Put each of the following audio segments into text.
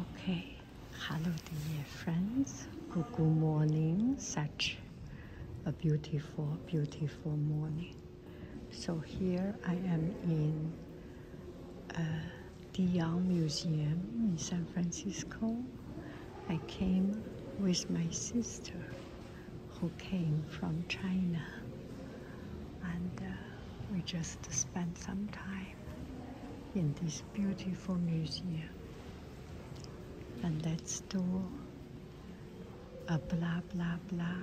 Okay, hello dear friends. Good morning. Such a beautiful, beautiful morning. So here I am in the uh, Young Museum in San Francisco. I came with my sister who came from China and uh, we just spent some time in this beautiful museum. And let's do a blah blah blah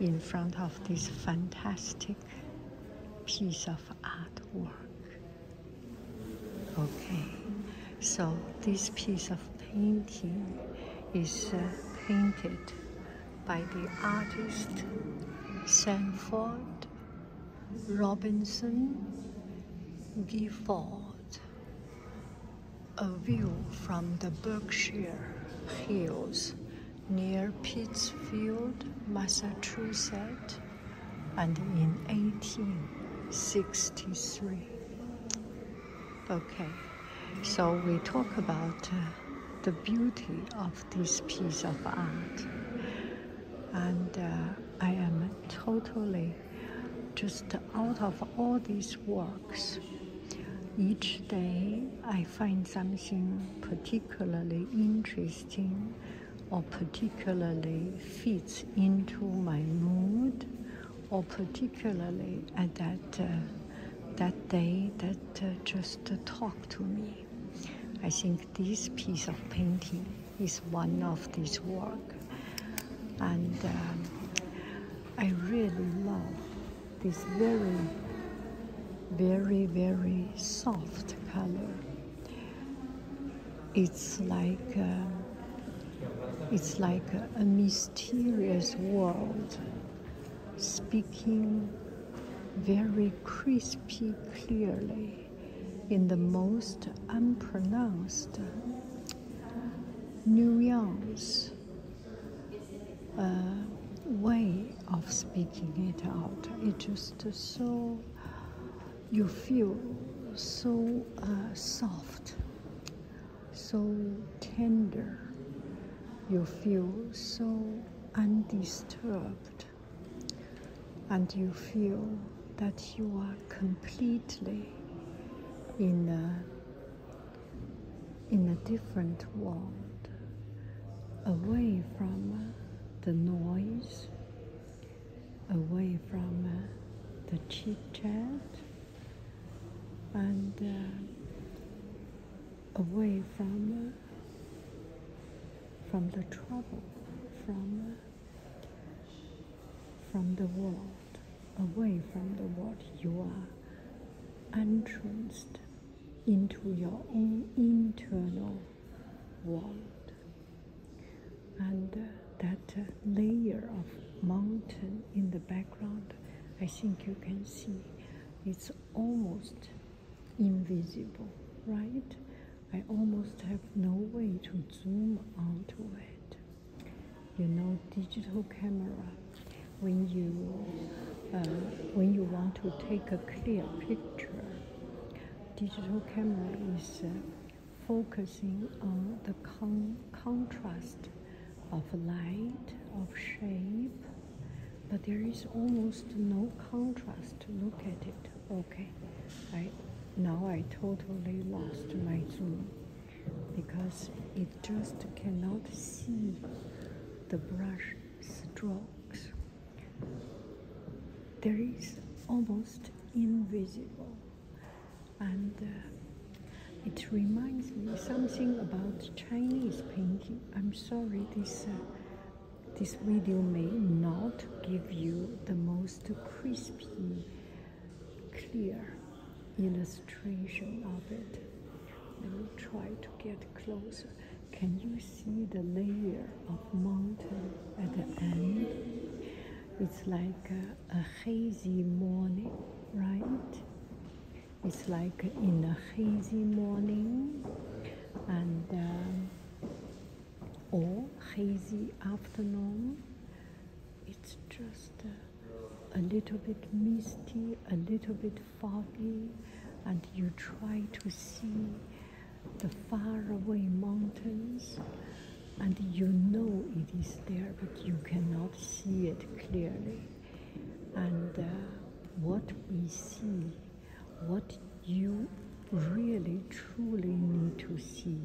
in front of this fantastic piece of artwork. Okay, so this piece of painting is uh, painted by the artist Sanford Robinson Gifford. A view from the Berkshire Hills near Pittsfield, Massachusetts, and in 1863. Okay, so we talk about uh, the beauty of this piece of art. And uh, I am totally just out of all these works. Each day I find something particularly interesting or particularly fits into my mood or particularly at that, uh, that day that uh, just uh, talk to me. I think this piece of painting is one of this work. And um, I really love this very, very, very soft color. It's like, um, it's like a mysterious world speaking very crispy clearly in the most unpronounced nuance uh, way of speaking it out. it just so, you feel so uh, soft, so tender, you feel so undisturbed and you feel that you are completely in a, in a different world, away from the noise, away from the chit chat, and uh, away from from the trouble, from, from the world, away from the world, you are entranced into your own internal world. And that layer of mountain in the background, I think you can see it's almost invisible, right? I almost have no way to zoom onto it. You know, digital camera. When you um, when you want to take a clear picture, digital camera is uh, focusing on the contrast of light, of shape, but there is almost no contrast. Look at it okay i now i totally lost my zoom because it just cannot see the brush strokes there is almost invisible and uh, it reminds me something about chinese painting i'm sorry this uh, this video may not give you the most crispy, clear illustration of it. Let me try to get closer. Can you see the layer of mountain at the end? It's like a, hazy morning, right? It's like in a hazy morning, and um, or hazy afternoon. It's just a, little bit misty, a little bit foggy, and you try to see the faraway mountains, and you know it is there, but you cannot see it clearly. And uh, what we see what you really truly need to see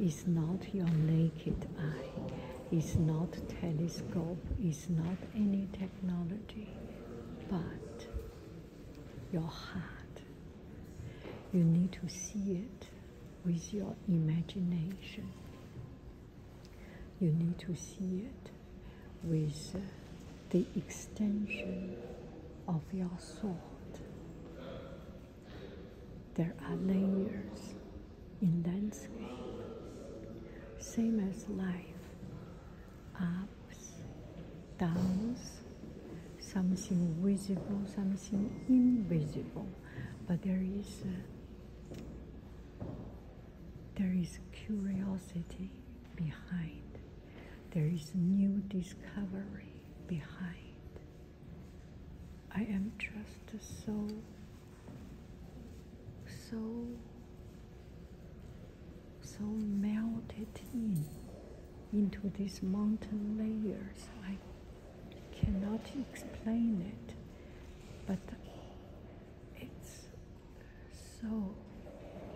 is not your naked eye, is not telescope, is not any technology, but your heart. You need to see it with your imagination. You need to see it with uh, the extension of your sword. There are layers in landscape, same as life, ups, downs, something visible, something invisible, but there is there is curiosity behind there is new discovery behind. I am just so, so, so melted in into these mountain layers. I cannot explain it, but it's so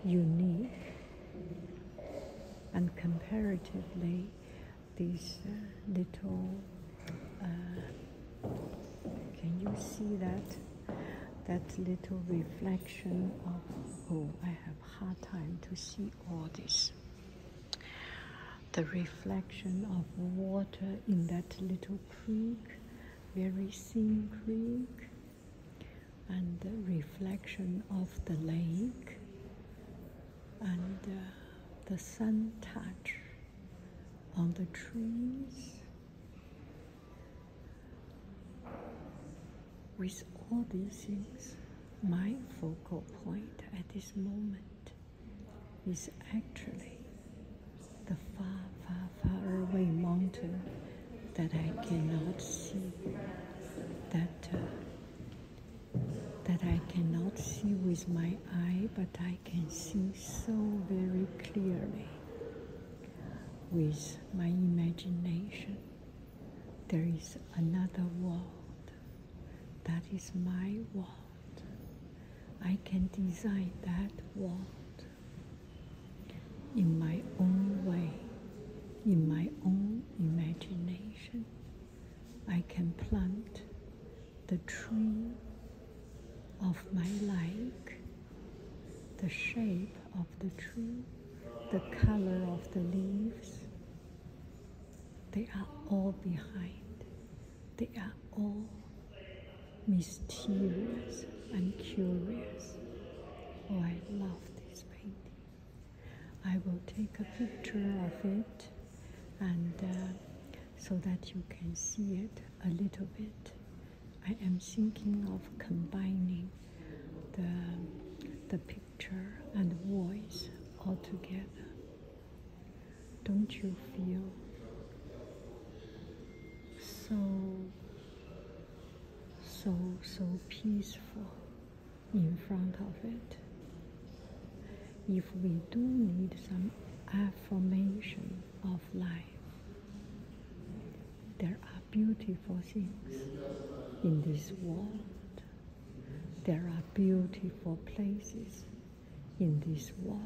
unique and comparatively, these uh, little, uh, can you see that? That little reflection of, oh, I have hard time to see all this. The reflection of water in that little creek, very thin creek and the reflection of the lake and uh, the sun touch on the trees with all these things my focal point at this moment is actually the far far far away mountain that i cannot see that uh, that I cannot see with my eye, but I can see so very clearly with my imagination. There is another world. That is my world. I can design that world in my own way, in my own imagination. I can plant the tree of my like, the shape of the tree, the color of the leaves. They are all behind. They are all mysterious and curious. Oh, I love this painting. I will take a picture of it and uh, so that you can see it a little bit. I am thinking of combining the, the picture and voice all together. Don't you feel so, so, so peaceful? in front of it. If we do need some affirmation of life, there are beautiful things in this world. There are beautiful places in this world.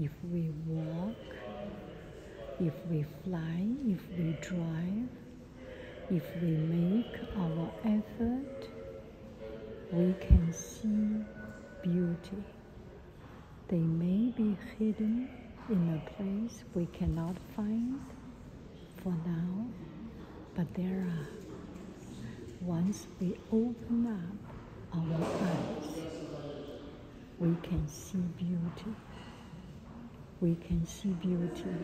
If we walk, if we fly, if we drive, if we make our effort, we can see beauty. They may be hidden in a place we cannot find for now, but there are. Once we open up our eyes, we can see beauty we can see beauty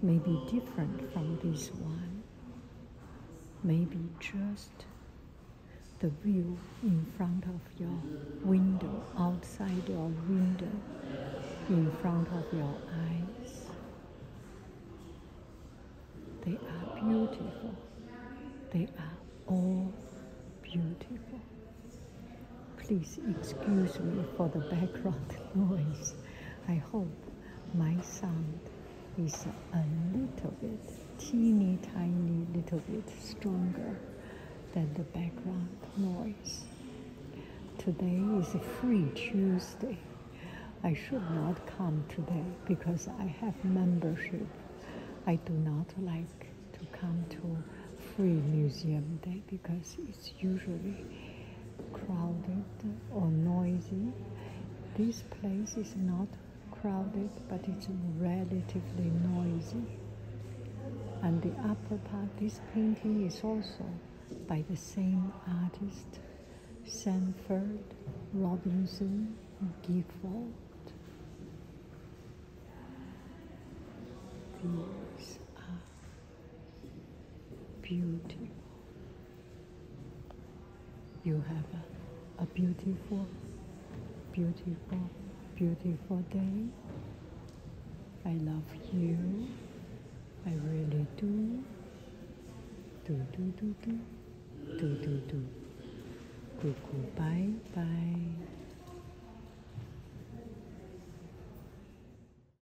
Maybe different from this one, maybe just the view in front of your window, outside your window, in front of your eyes. They are beautiful. They are all beautiful. Please excuse me for the background noise. I hope my sound is a little bit, teeny tiny little bit stronger than the background noise. Today is a free Tuesday. I should not come today because I have membership. I do not like to come to Free Museum Day because is usually crowded or noisy. This place is not crowded, but it's relatively noisy. And the upper part, this painting is also by the same artist, Sanford Robinson Gifford. These are Beautiful. You have a, beautiful, beautiful, beautiful day. I love you. I really do. Do do do do. Do do do. Cuckoo, bye bye.